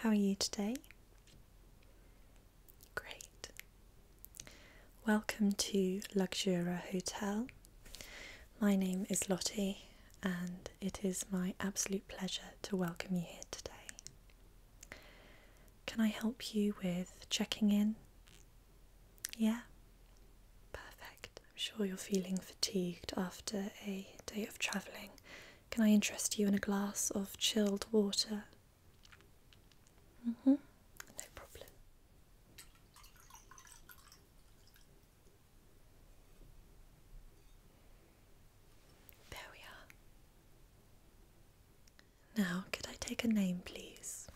how are you today? Great. Welcome to Luxura Hotel. My name is Lottie, and it is my absolute pleasure to welcome you here today. Can I help you with checking in? Yeah? Perfect. I'm sure you're feeling fatigued after a day of travelling can I interest you in a glass of chilled water? Mm-hmm. No problem. There we are. Now, could I take a name, please?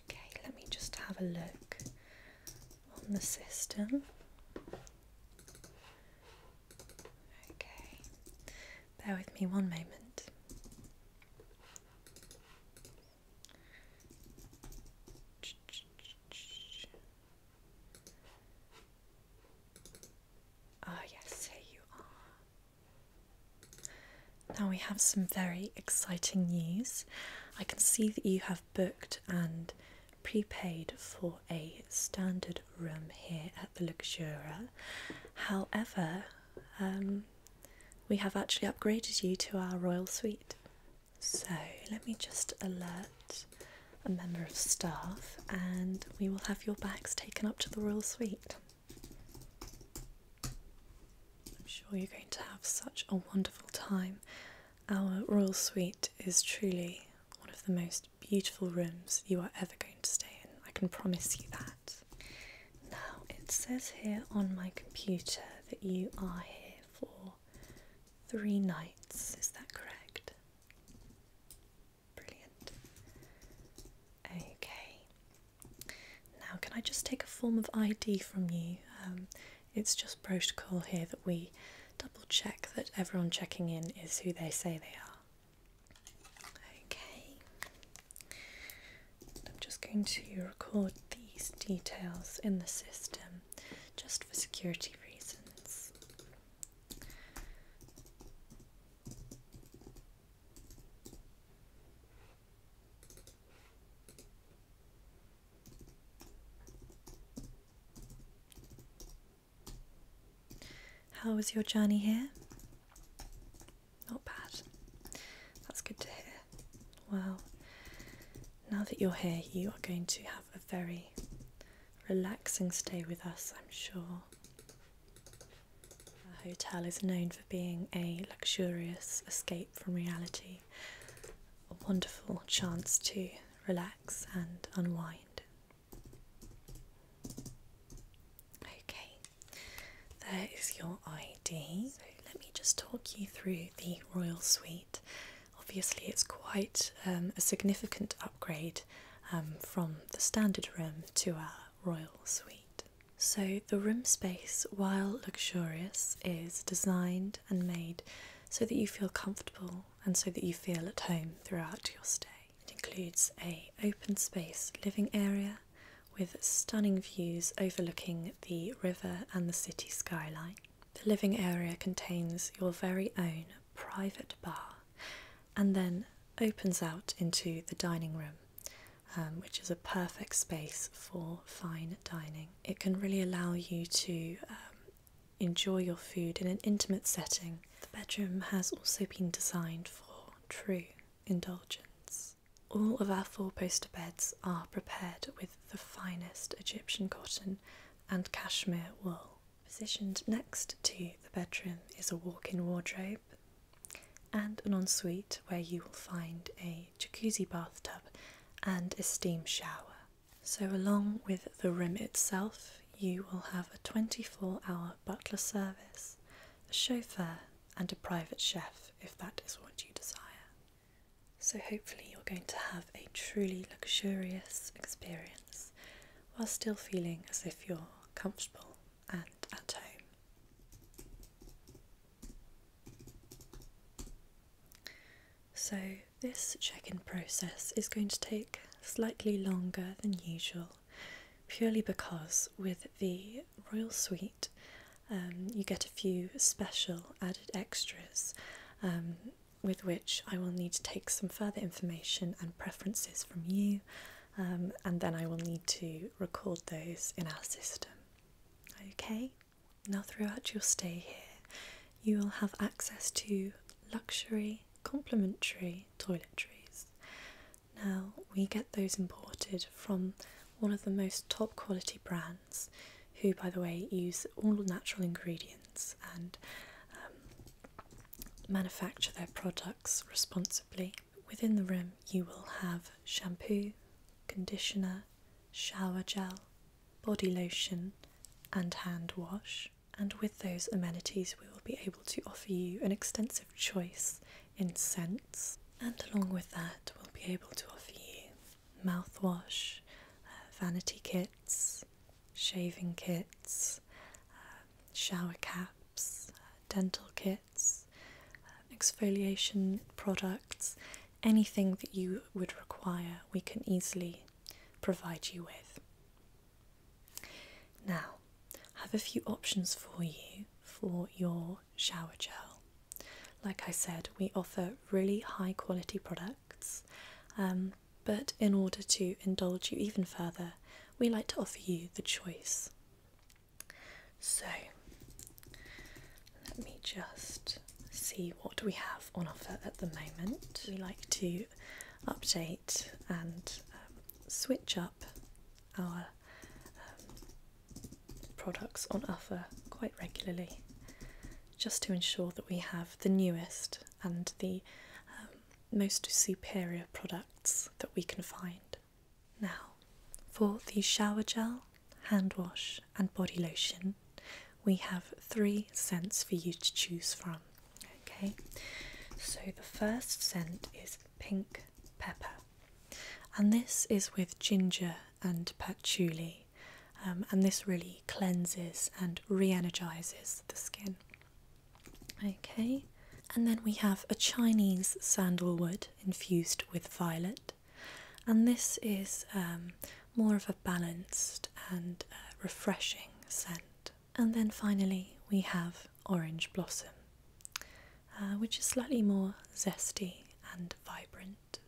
Okay, let me just have a look on the system. Okay, bear with me one moment. oh, yes, here you are. Now we have some very exciting news. I can see that you have booked and prepaid for a standard room here at the Luxuria. However, um, we have actually upgraded you to our royal suite. So let me just alert a member of staff and we will have your bags taken up to the royal suite. I'm sure you're going to have such a wonderful time. Our royal suite is truly one of the most beautiful rooms you are ever going to stay in. I can promise you that. Now, it says here on my computer that you are here for three nights. Is that correct? Brilliant. Okay. Now, can I just take a form of ID from you? Um, it's just protocol here that we double check that everyone checking in is who they say they are. Okay, I'm just going to record these details in the system just for security reasons. How was your journey here? Not bad. That's good to hear. Well, now that you're here, you are going to have a very relaxing stay with us, I'm sure. Our hotel is known for being a luxurious escape from reality, a wonderful chance to relax and unwind. Okay, there is your ID. So let me just talk you through the Royal Suite. Obviously, it's quite um, a significant upgrade um, from the standard room to our Royal Suite. So, the room space, while luxurious, is designed and made so that you feel comfortable and so that you feel at home throughout your stay. It includes a open space living area with stunning views overlooking the river and the city skyline. The living area contains your very own private bar and then opens out into the dining room, um, which is a perfect space for fine dining. It can really allow you to um, enjoy your food in an intimate setting. The bedroom has also been designed for true indulgence. All of our four poster beds are prepared with the finest Egyptian cotton and cashmere wool. Positioned next to the bedroom is a walk in wardrobe and an ensuite where you will find a jacuzzi bathtub and a steam shower. So, along with the room itself, you will have a 24 hour butler service, a chauffeur, and a private chef if that is what you desire. So, hopefully, you're going to have a truly luxurious experience while still feeling as if you're comfortable and at home. So, this check in process is going to take slightly longer than usual purely because with the Royal Suite um, you get a few special added extras um, with which I will need to take some further information and preferences from you, um, and then I will need to record those in our system. Okay, now throughout your stay here, you will have access to luxury complimentary toiletries. Now, we get those imported from one of the most top quality brands, who, by the way, use all natural ingredients and um, manufacture their products responsibly. Within the room, you will have shampoo, conditioner, shower gel, body lotion, and hand wash and with those amenities, we will be able to offer you an extensive choice in scents, and along with that, we'll be able to offer you mouthwash, uh, vanity kits, shaving kits, uh, shower caps, uh, dental kits, exfoliation products, anything that you would require, we can easily provide you with. Now, I have a few options for you for your shower gel. Like I said, we offer really high quality products, um, but in order to indulge you even further, we like to offer you the choice. So, let me just see what we have on offer at the moment. We like to update and um, switch up our um, products on offer quite regularly just to ensure that we have the newest and the um, most superior products that we can find. Now, for the shower gel, hand wash, and body lotion, we have three scents for you to choose from. Okay, so the first scent is pink pepper, and this is with ginger and patchouli, um, and this really cleanses and reenergizes the skin. Okay, and then we have a Chinese sandalwood infused with violet, and this is um, more of a balanced and uh, refreshing scent. And then finally, we have Orange Blossom, uh, which is slightly more zesty and vibrant.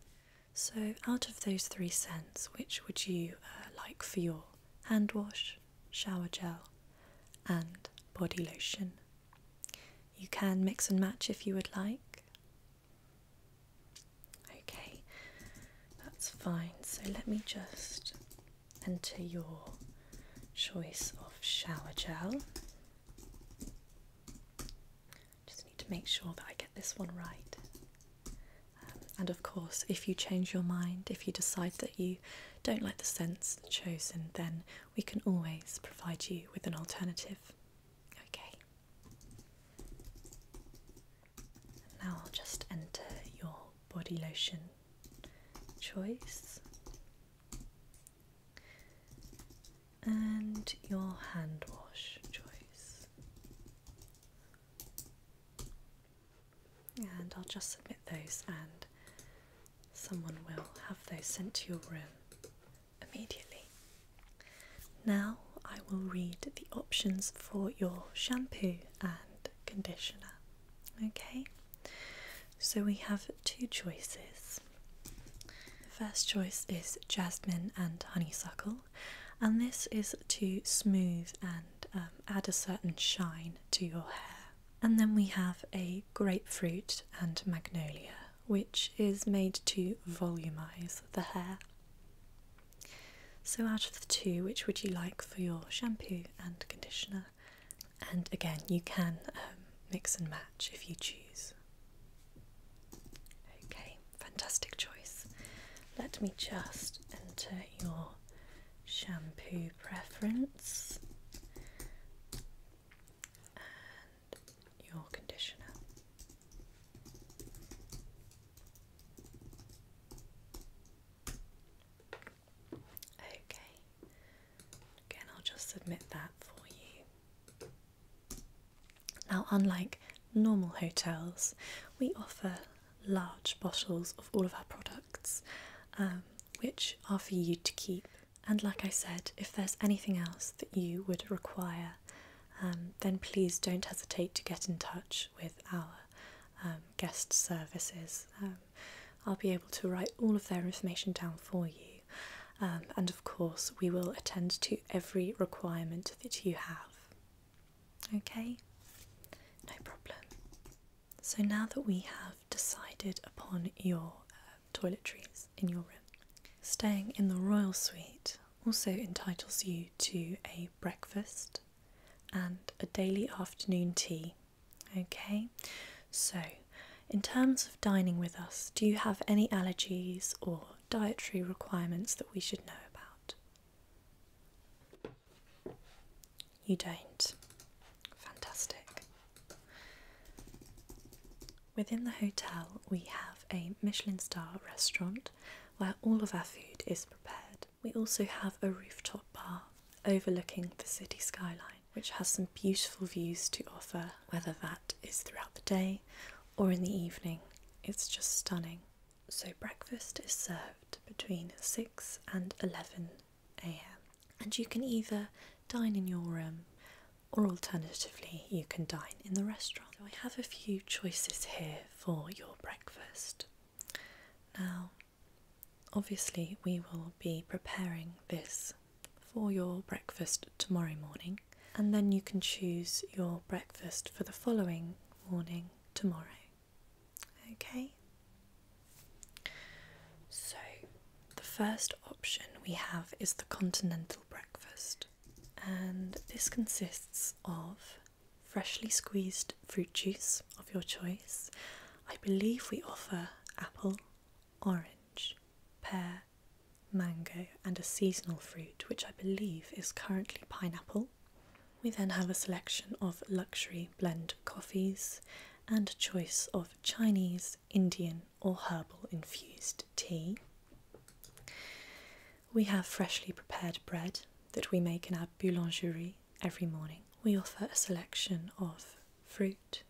So, out of those three scents, which would you uh, like for your hand wash, shower gel, and body lotion? You can mix and match if you would like. Okay, that's fine. So, let me just enter your choice of shower gel. Just need to make sure that I get this one right. Um, and of course, if you change your mind, if you decide that you don't like the scent chosen, then we can always provide you with an alternative. Okay. Now I'll just enter your body lotion choice and your hand wash choice. And I'll just submit those, and someone will have those sent to your room immediately. Now I will read the options for your shampoo and conditioner. Okay, so we have two choices. The first choice is jasmine and honeysuckle, and this is to smooth and um, add a certain shine to your hair. And then we have a grapefruit and magnolia, which is made to volumize the hair. So, out of the two, which would you like for your shampoo and conditioner? and again you can um, mix and match if you choose okay fantastic choice let me just enter your shampoo preference and your conditioner Okay, again, I'll just submit that for you. Now, unlike normal hotels, we offer large bottles of all of our products, um, which are for you to keep. And like I said, if there's anything else that you would require, um, then please don't hesitate to get in touch with our um, guest services. Uh, I'll be able to write all of their information down for you. Um, and of course, we will attend to every requirement that you have. Okay? No problem. So now that we have decided upon your uh, toiletries in your room, staying in the royal suite also entitles you to a breakfast and a daily afternoon tea Okay, so in terms of dining with us, do you have any allergies or dietary requirements that we should know about? You don't. Fantastic. Within the hotel, we have a Michelin star restaurant where all of our food is prepared. We also have a rooftop bar overlooking the city skyline which has some beautiful views to offer, whether that is throughout the day or in the evening. It's just stunning. So, breakfast is served between 6 and 11 am, and you can either dine in your room or alternatively, you can dine in the restaurant. So, I have a few choices here for your breakfast. Now, Obviously, we will be preparing this for your breakfast tomorrow morning, and then you can choose your breakfast for the following morning tomorrow. Okay? So, the first option we have is the continental breakfast, and this consists of freshly squeezed fruit juice of your choice. I believe we offer apple orange, pear, mango, and a seasonal fruit, which I believe is currently pineapple. We then have a selection of luxury blend coffees and choice of Chinese, Indian, or herbal infused tea. We have freshly prepared bread that we make in our boulangerie every morning. We offer a selection of fruit,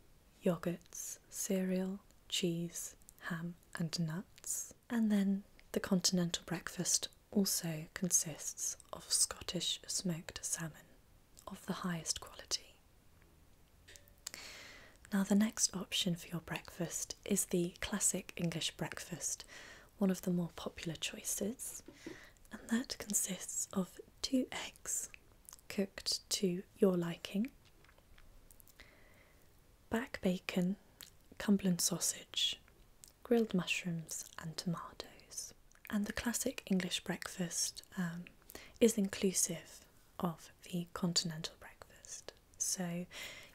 yogurts, cereal, cheese, ham, and nuts. And then the continental breakfast also consists of Scottish smoked salmon of the highest quality. Now, the next option for your breakfast is the classic English breakfast, one of the more popular choices, and that consists of two eggs, cooked to your liking. Back bacon, Cumberland sausage, grilled mushrooms, and tomatoes. And the classic English breakfast um, is inclusive of the continental breakfast. So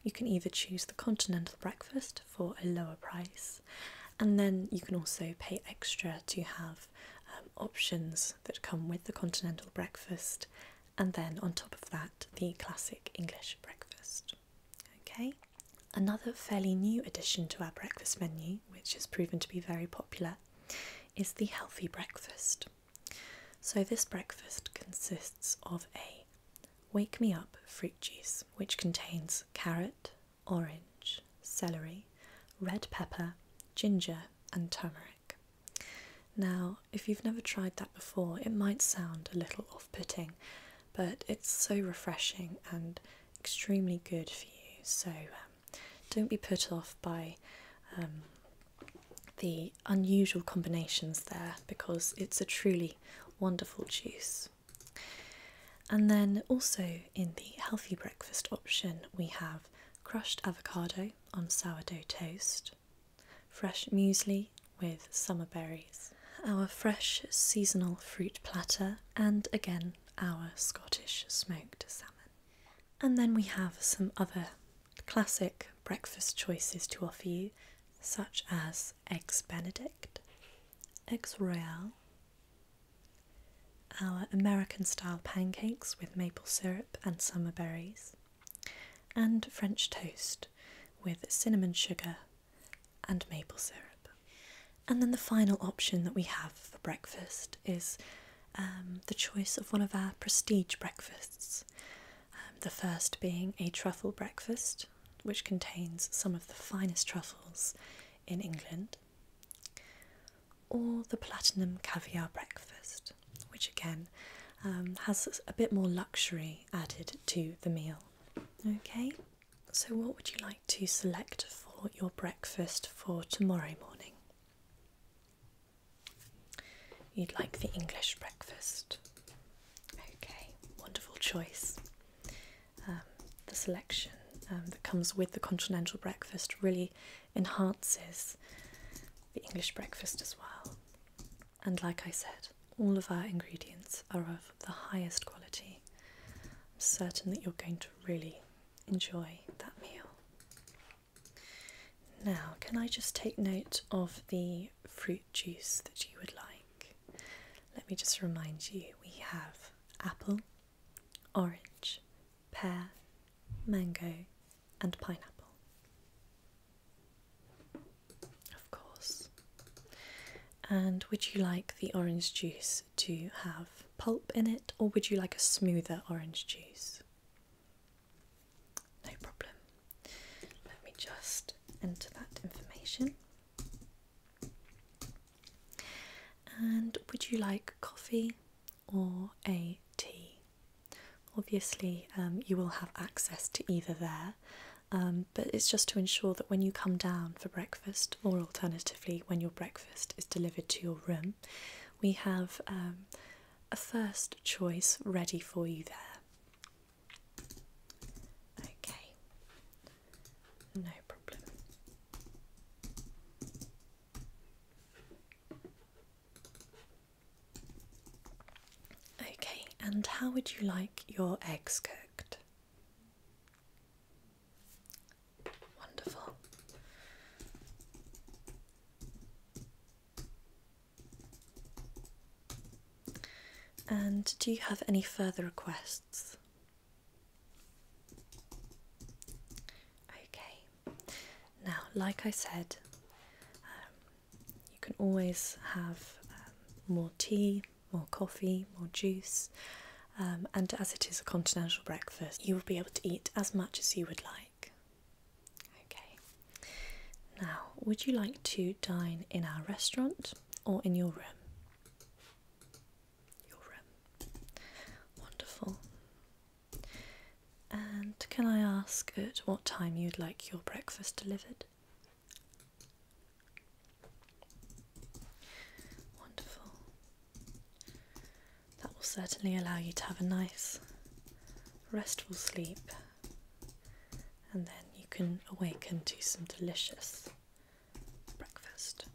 you can either choose the continental breakfast for a lower price, and then you can also pay extra to have um, options that come with the continental breakfast, and then on top of that, the classic English breakfast. Okay, another fairly new addition to our breakfast menu, which has proven to be very popular, is the healthy breakfast. So, this breakfast consists of a Wake Me Up fruit juice, which contains carrot, orange, celery, red pepper, ginger, and turmeric. Now, if you've never tried that before, it might sound a little off putting, but it's so refreshing and extremely good for you. So, um, don't be put off by um, the unusual combinations there because it's a truly wonderful juice. And then also in the healthy breakfast option, we have crushed avocado on sourdough toast, fresh muesli with summer berries, our fresh seasonal fruit platter, and again our Scottish smoked salmon. And then we have some other classic breakfast choices to offer you, such as eggs benedict, eggs royale, our American style pancakes with maple syrup and summer berries, and French toast with cinnamon sugar and maple syrup. And then the final option that we have for breakfast is um, the choice of one of our prestige breakfasts. Um, the first being a truffle breakfast, which contains some of the finest truffles in England or the platinum caviar breakfast, which again um, has a bit more luxury added to the meal. Okay, so what would you like to select for your breakfast for tomorrow morning? You'd like the English breakfast. Okay, wonderful choice. Um, the selection um, that comes with the continental breakfast really enhances the English breakfast as well. And like I said, all of our ingredients are of the highest quality. I'm certain that you're going to really enjoy that meal. Now, can I just take note of the fruit juice that you would like? Let me just remind you we have apple, orange, pear, mango, and pineapple. Of course. And would you like the orange juice to have pulp in it, or would you like a smoother orange juice? No problem. Let me just enter that information. And would you like coffee or a tea? Obviously, um, you will have access to either there, um, but it's just to ensure that when you come down for breakfast, or alternatively, when your breakfast is delivered to your room, we have um, a first choice ready for you there. Okay, no problem. Okay, and how would you like your eggs cooked? Wonderful. And do you have any further requests? Okay. Now, like I said, um, you can always have um, more tea, more coffee, more juice, um, and as it is a continental breakfast, you will be able to eat as much as you would like. Okay, now would you like to dine in our restaurant or in your room? Your room. Wonderful. And can I ask at what time you'd like your breakfast delivered? Wonderful. That will certainly allow you to have a nice, restful sleep, and then you can awaken to some delicious breakfast.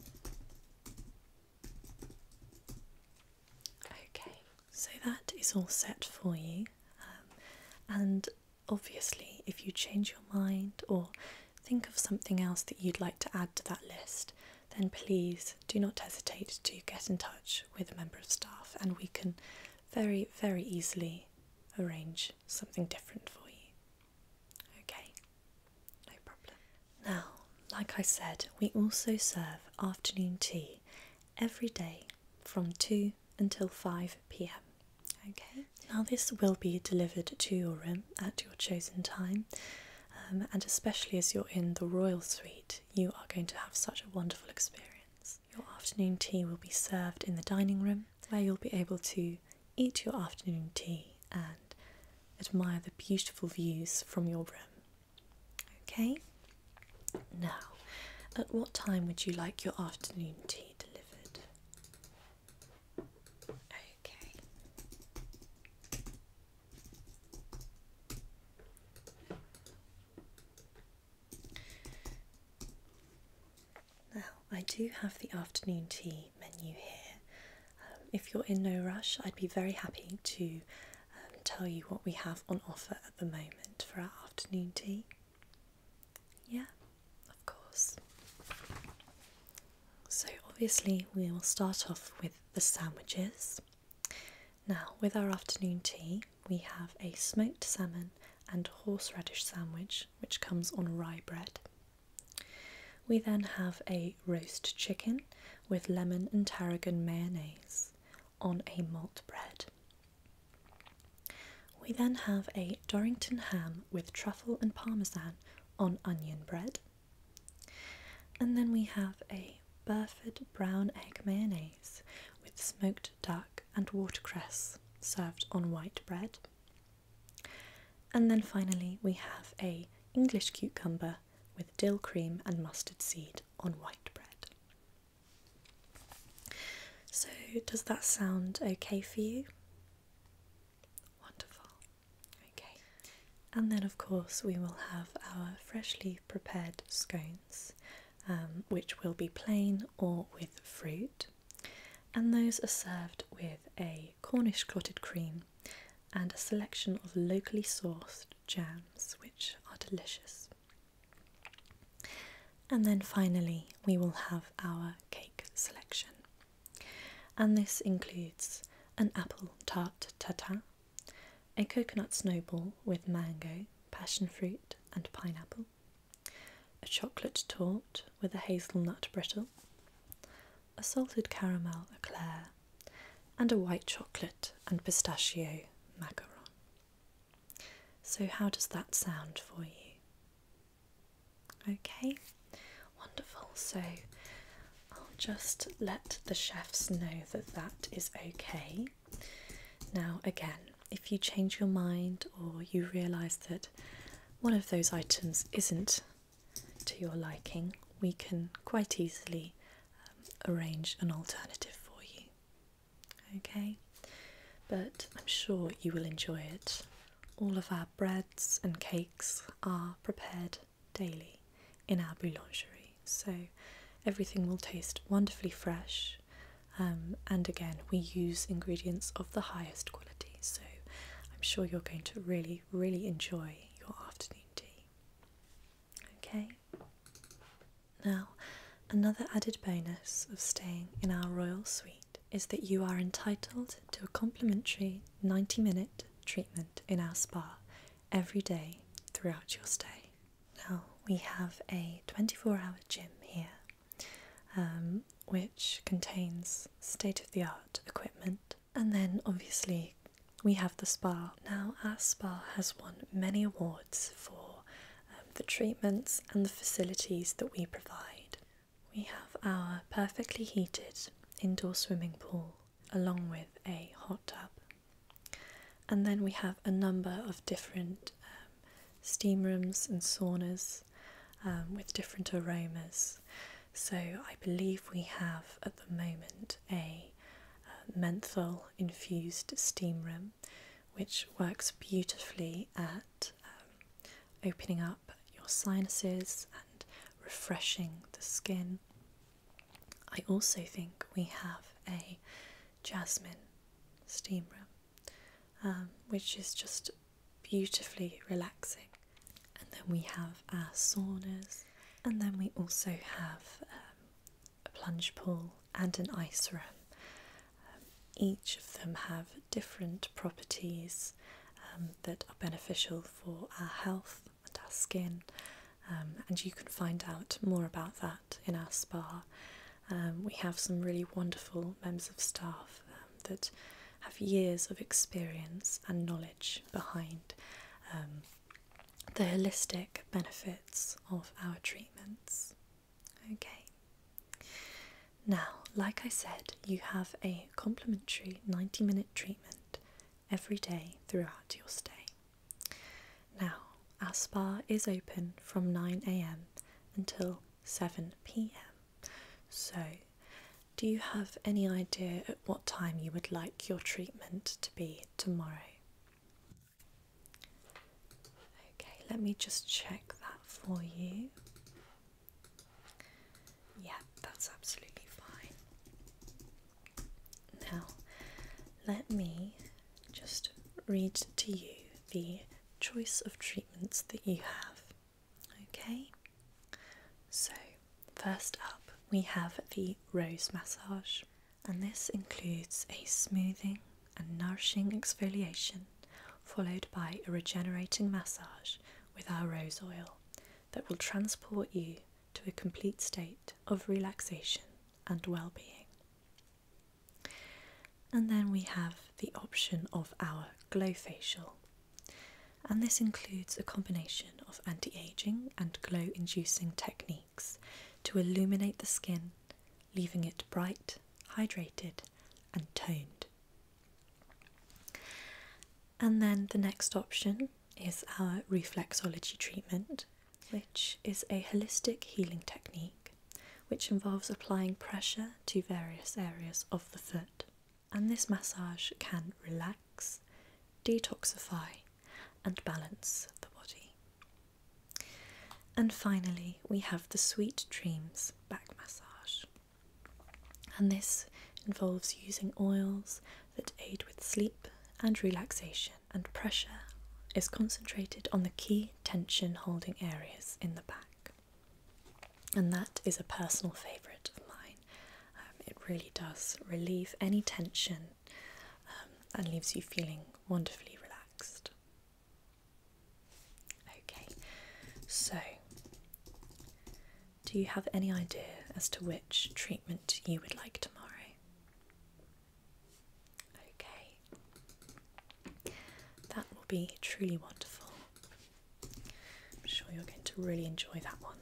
Okay, so that is all set for you, um, and obviously, if you change your mind or think of something else that you'd like to add to that list, then please do not hesitate to get in touch with a member of staff, and we can very, very easily arrange something different for you. Okay, no problem. Now, like I said, we also serve afternoon tea every day from 2 until 5 pm. Okay, now this will be delivered to your room at your chosen time, um, and especially as you're in the royal suite, you are going to have such a wonderful experience. Your afternoon tea will be served in the dining room where you'll be able to eat your afternoon tea and admire the beautiful views from your room. Okay, now at what time would you like your afternoon tea delivered? Okay. Now, I do have the afternoon tea menu here. Um, if you're in no rush, I'd be very happy to tell you what we have on offer at the moment for our afternoon tea. Yeah, of course. So, obviously, we will start off with the sandwiches. Now, with our afternoon tea, we have a smoked salmon and horseradish sandwich, which comes on rye bread. We then have a roast chicken with lemon and tarragon mayonnaise, on a malt bread. We then have a Dorrington ham with truffle and parmesan on onion bread. And then we have a Burford brown egg mayonnaise with smoked duck and watercress served on white bread. And then finally we have a English cucumber with dill cream and mustard seed on white bread. So, does that sound okay for you? Wonderful. Okay. And then, of course, we will have our freshly prepared scones, um, which will be plain or with fruit. And those are served with a Cornish clotted cream and a selection of locally sourced jams, which are delicious. And then finally, we will have our cake selection. And this includes an apple tart tatin, a coconut snowball with mango, passion fruit, and pineapple, a chocolate tort with a hazelnut brittle, a salted caramel eclair, and a white chocolate and pistachio macaron. So, how does that sound for you? Okay, wonderful. So, I'll just let the chefs know that that is okay. Now, again, if you change your mind or you realise that one of those items isn't to your liking, we can quite easily um, arrange an alternative for you. Okay, but I'm sure you will enjoy it. All of our breads and cakes are prepared daily in our boulangerie, so everything will taste wonderfully fresh. Um, and again, we use ingredients of the highest quality, so I'm sure you're going to really, really enjoy your afternoon tea. Okay, now, another added bonus of staying in our royal suite is that you are entitled to a complimentary 90 minute treatment in our spa every day throughout your stay. Now, we have a 24 hour gym here. Um, which contains state of the art equipment. And then obviously we have the spa. Now, our spa has won many awards for um, the treatments and the facilities that we provide. We have our perfectly heated indoor swimming pool along with a hot tub. And then we have a number of different um, steam rooms and saunas um, with different aromas. So I believe we have at the moment a uh, menthol infused steam room which works beautifully at um, opening up your sinuses and refreshing the skin. I also think we have a jasmine steam room, um, which is just beautifully relaxing. And then we have our saunas, and then we also have um, a plunge pool, and an ice room. Um, each of them have different properties um, that are beneficial for our health and our skin, um, and you can find out more about that in our spa. we have some really wonderful members of staff that have years of experience and knowledge behind the holistic benefits of our treatments. Okay. Now, like I said, you have a complimentary 90 minute treatment every day throughout your stay. Now, our spa is open from 9 am until 7 pm. So, do you have any idea at what time you would like your treatment to be tomorrow? Okay, let me just check that for you. Yeah, that's absolutely fine. Now, let me just read to you the choice of treatments that you have. Okay, so first up we have the rose massage and this includes a smoothing and nourishing exfoliation followed by a regenerating massage with our rose oil that will transport you to a complete state of relaxation and well being. And then we have the option of our Glow Facial. And this includes a combination of anti aging and glow inducing technique to illuminate the skin, leaving it bright, hydrated, and toned. And then the next option is our reflexology treatment, which is a holistic healing technique which involves applying pressure to various areas of the foot. And this massage can relax, detoxify, and balance the body. And finally, we have the Sweet Dreams back massage. And this involves using oils that aid with sleep and relaxation, and pressure is concentrated on the key tension holding areas in the back. And that is a personal favourite of mine. Um, it really does relieve any tension um, and leaves you feeling wonderfully relaxed. Okay, so do you have any idea as to which treatment you would like tomorrow? Okay, that will be truly wonderful. I'm sure you're going to really enjoy that one.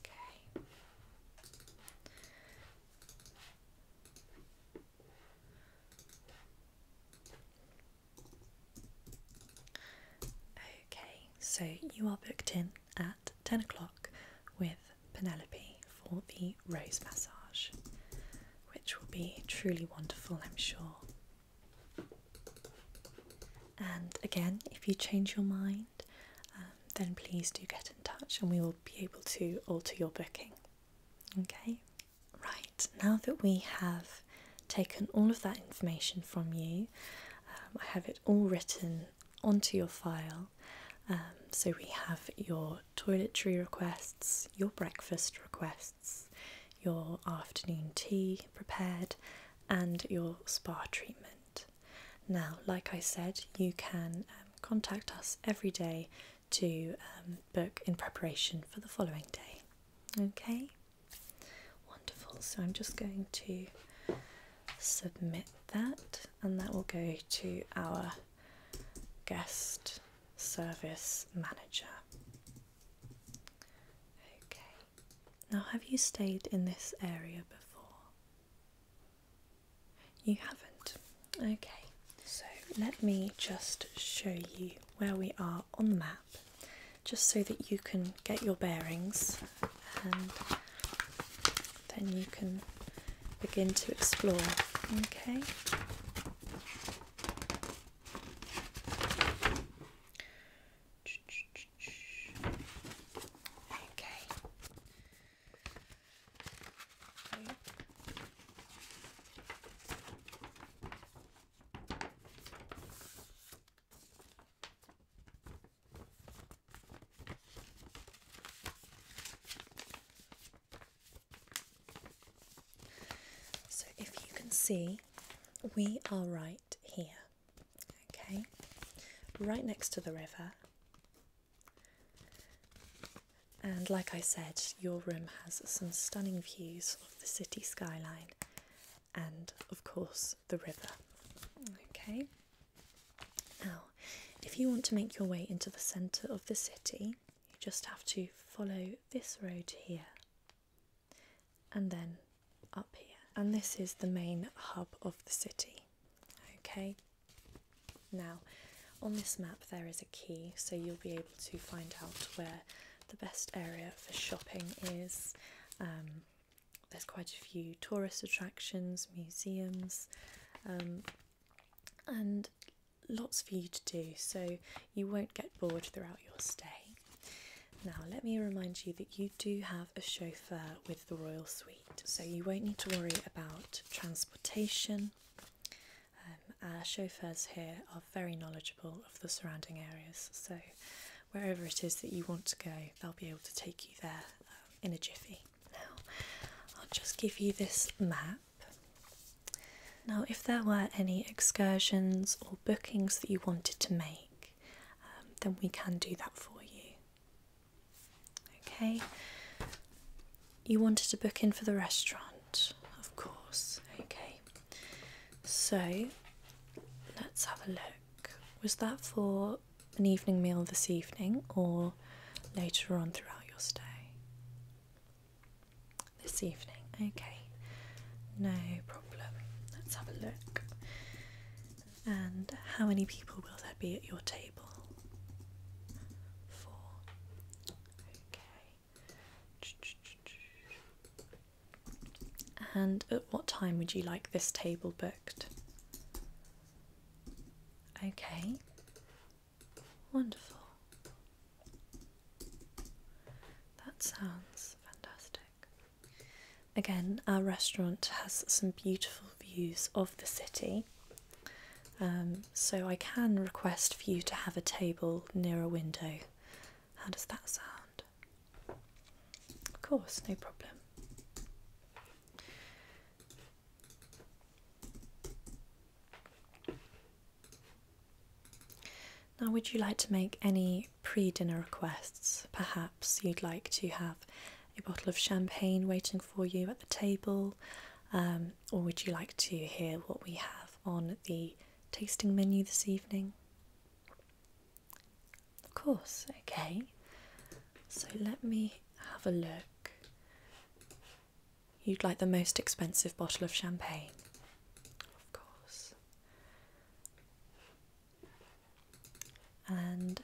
Okay. Okay, so you are booked in at 10 o'clock with Penelope for the rose massage, which will be truly wonderful, I'm sure. And again, if you change your mind, um, then please do get in touch and we will be able to alter your booking. Okay, right, now that we have taken all of that information from you, um, I have it all written onto your file. Um, so we have your toiletry requests, your breakfast requests, your afternoon tea prepared, and your spa treatment. Now, like I said, you can um, contact us every day to um, book in preparation for the following day. Okay, wonderful. So I'm just going to submit that, and that will go to our guest service manager. Okay, now, have you stayed in this area before? You haven't. Okay, so let me just show you where we are on the map, just so that you can get your bearings and then you can begin to explore. Okay. Okay. So, if you can see, we are right here. Okay, right next to the river. And like I said, your room has some stunning views of the city skyline and, of course, the river. Okay, now if you want to make your way into the centre of the city, you just have to follow this road here and then up here, and this is the main hub of the city. Okay, now on this map, there is a key, so you'll be able to find out where the best area for shopping is. Um, there's quite a few tourist attractions, museums, um, and lots for you to do, so you won't get bored throughout your stay. Now, let me remind you that you do have a chauffeur with the Royal Suite, so you won't need to worry about transportation. Um, our chauffeurs here are very knowledgeable of the surrounding areas, so wherever it is that you want to go, they'll be able to take you there um, in a jiffy. Now, I'll just give you this map. Now, if there were any excursions or bookings that you wanted to make, um, then we can do that for you. Okay. You wanted to book in for the restaurant, of course. Okay. So let's have a look. Was that for an evening meal this evening or later on throughout your stay? This evening, okay. No problem. Let's have a look. And how many people will there be at your table? Four. Okay. And at what time would you like this table booked? Okay. Wonderful. That sounds fantastic. Again, our restaurant has some beautiful views of the city, um, so I can request for you to have a table near a window. How does that sound? Of course, no problem. Now, would you like to make any pre dinner requests, perhaps? you'd like to have a bottle of champagne waiting for you at the table, um, or would you like to hear what we have on the tasting menu this evening? Of course, okay. So let me have a look. You'd like the most expensive bottle of champagne, of course. And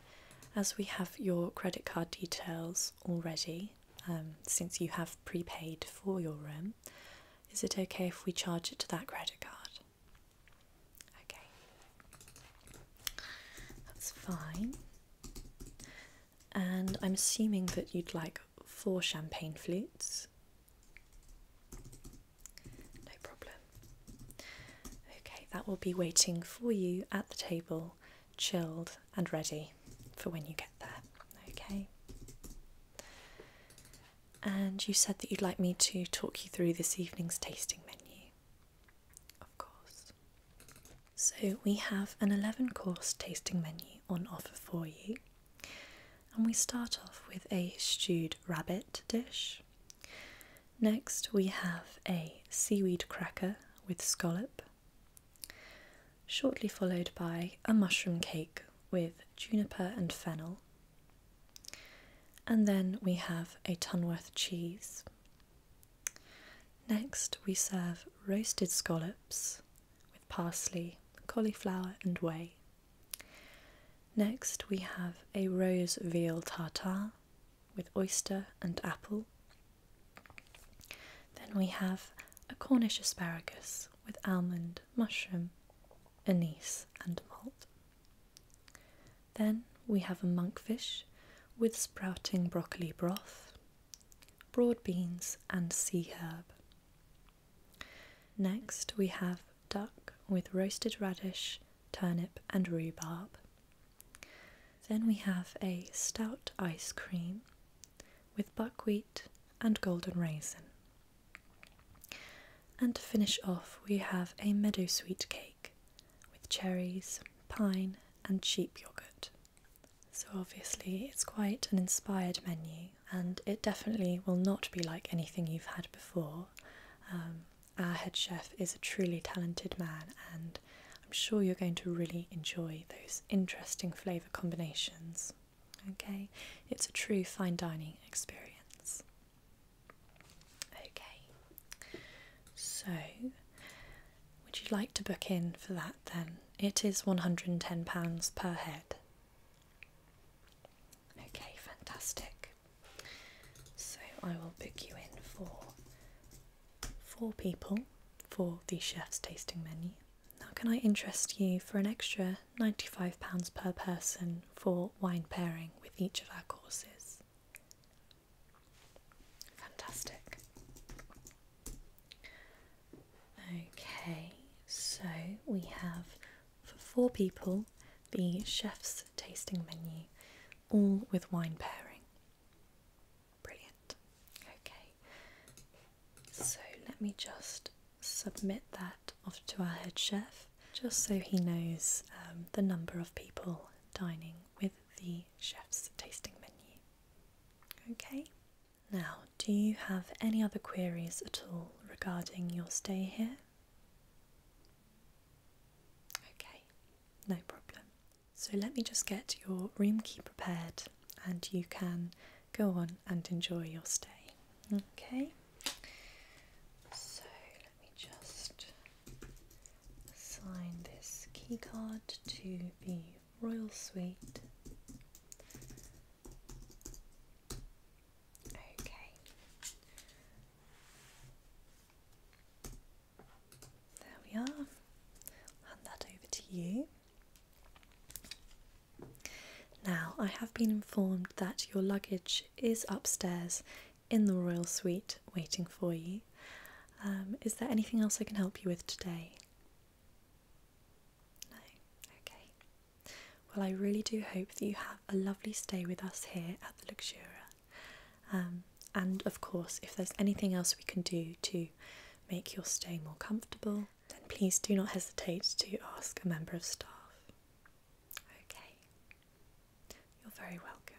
as we have your credit card details already, um, since you have prepaid for your room, is it okay if we charge it to that credit card? Okay, that's fine. And I'm assuming that you'd like four champagne flutes. No problem. Okay, that will be waiting for you at the table, chilled and ready for when you get there. Okay. And you said that you'd like me to talk you through this evening's tasting menu. Of course. So we have an 11 course tasting menu on offer for you. And we start off with a stewed rabbit dish. Next, we have a seaweed cracker with scallop, shortly followed by a mushroom cake with juniper and fennel, and then we have a Tunworth cheese. Next, we serve roasted scallops with parsley, cauliflower, and whey. Next, we have a rose veal tartare with oyster and apple. Then we have a Cornish asparagus with almond, mushroom, anise, and malt. Then we have a monkfish with sprouting broccoli broth, broad beans, and sea herb. Next, we have duck with roasted radish, turnip, and rhubarb. Then we have a stout ice cream with buckwheat and golden raisin. And to finish off, we have a meadow sweet cake with cherries, pine, and sheep yogurt. So, obviously, it's quite an inspired menu, and it definitely will not be like anything you've had before. Um, our head chef is a truly talented man, and I'm sure you're going to really enjoy those interesting flavour combinations. Okay, it's a true fine dining experience. Okay, so would you like to book in for that then? It is £110 per head. Okay, fantastic. So I will book you in for four people for the chef's tasting menu. Now, can I interest you for an extra £95 per person for wine pairing with each of our courses? Fantastic. Okay, so we have for four people the chef's tasting menu all with wine pairing. Brilliant. Okay, so let me just submit that off to our head chef just so he knows um, the number of people dining with the chef's tasting menu. Okay, now do you have any other queries at all regarding your stay here? Okay, no problem. So let me just get your room key prepared and you can go on and enjoy your stay. Okay, so let me just assign this key card to the Royal Suite. Okay. There we are. Hand that over to you. Now, I have been informed that your luggage is upstairs in the royal suite waiting for you. Um, is there anything else I can help you with today? No? Okay. Well, I really do hope that you have a lovely stay with us here at the Luxuria. Um, and of course, if there's anything else we can do to make your stay more comfortable, then please do not hesitate to ask a member of staff. Okay, you're very welcome.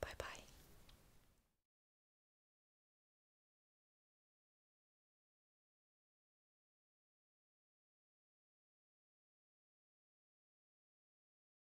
Bye bye.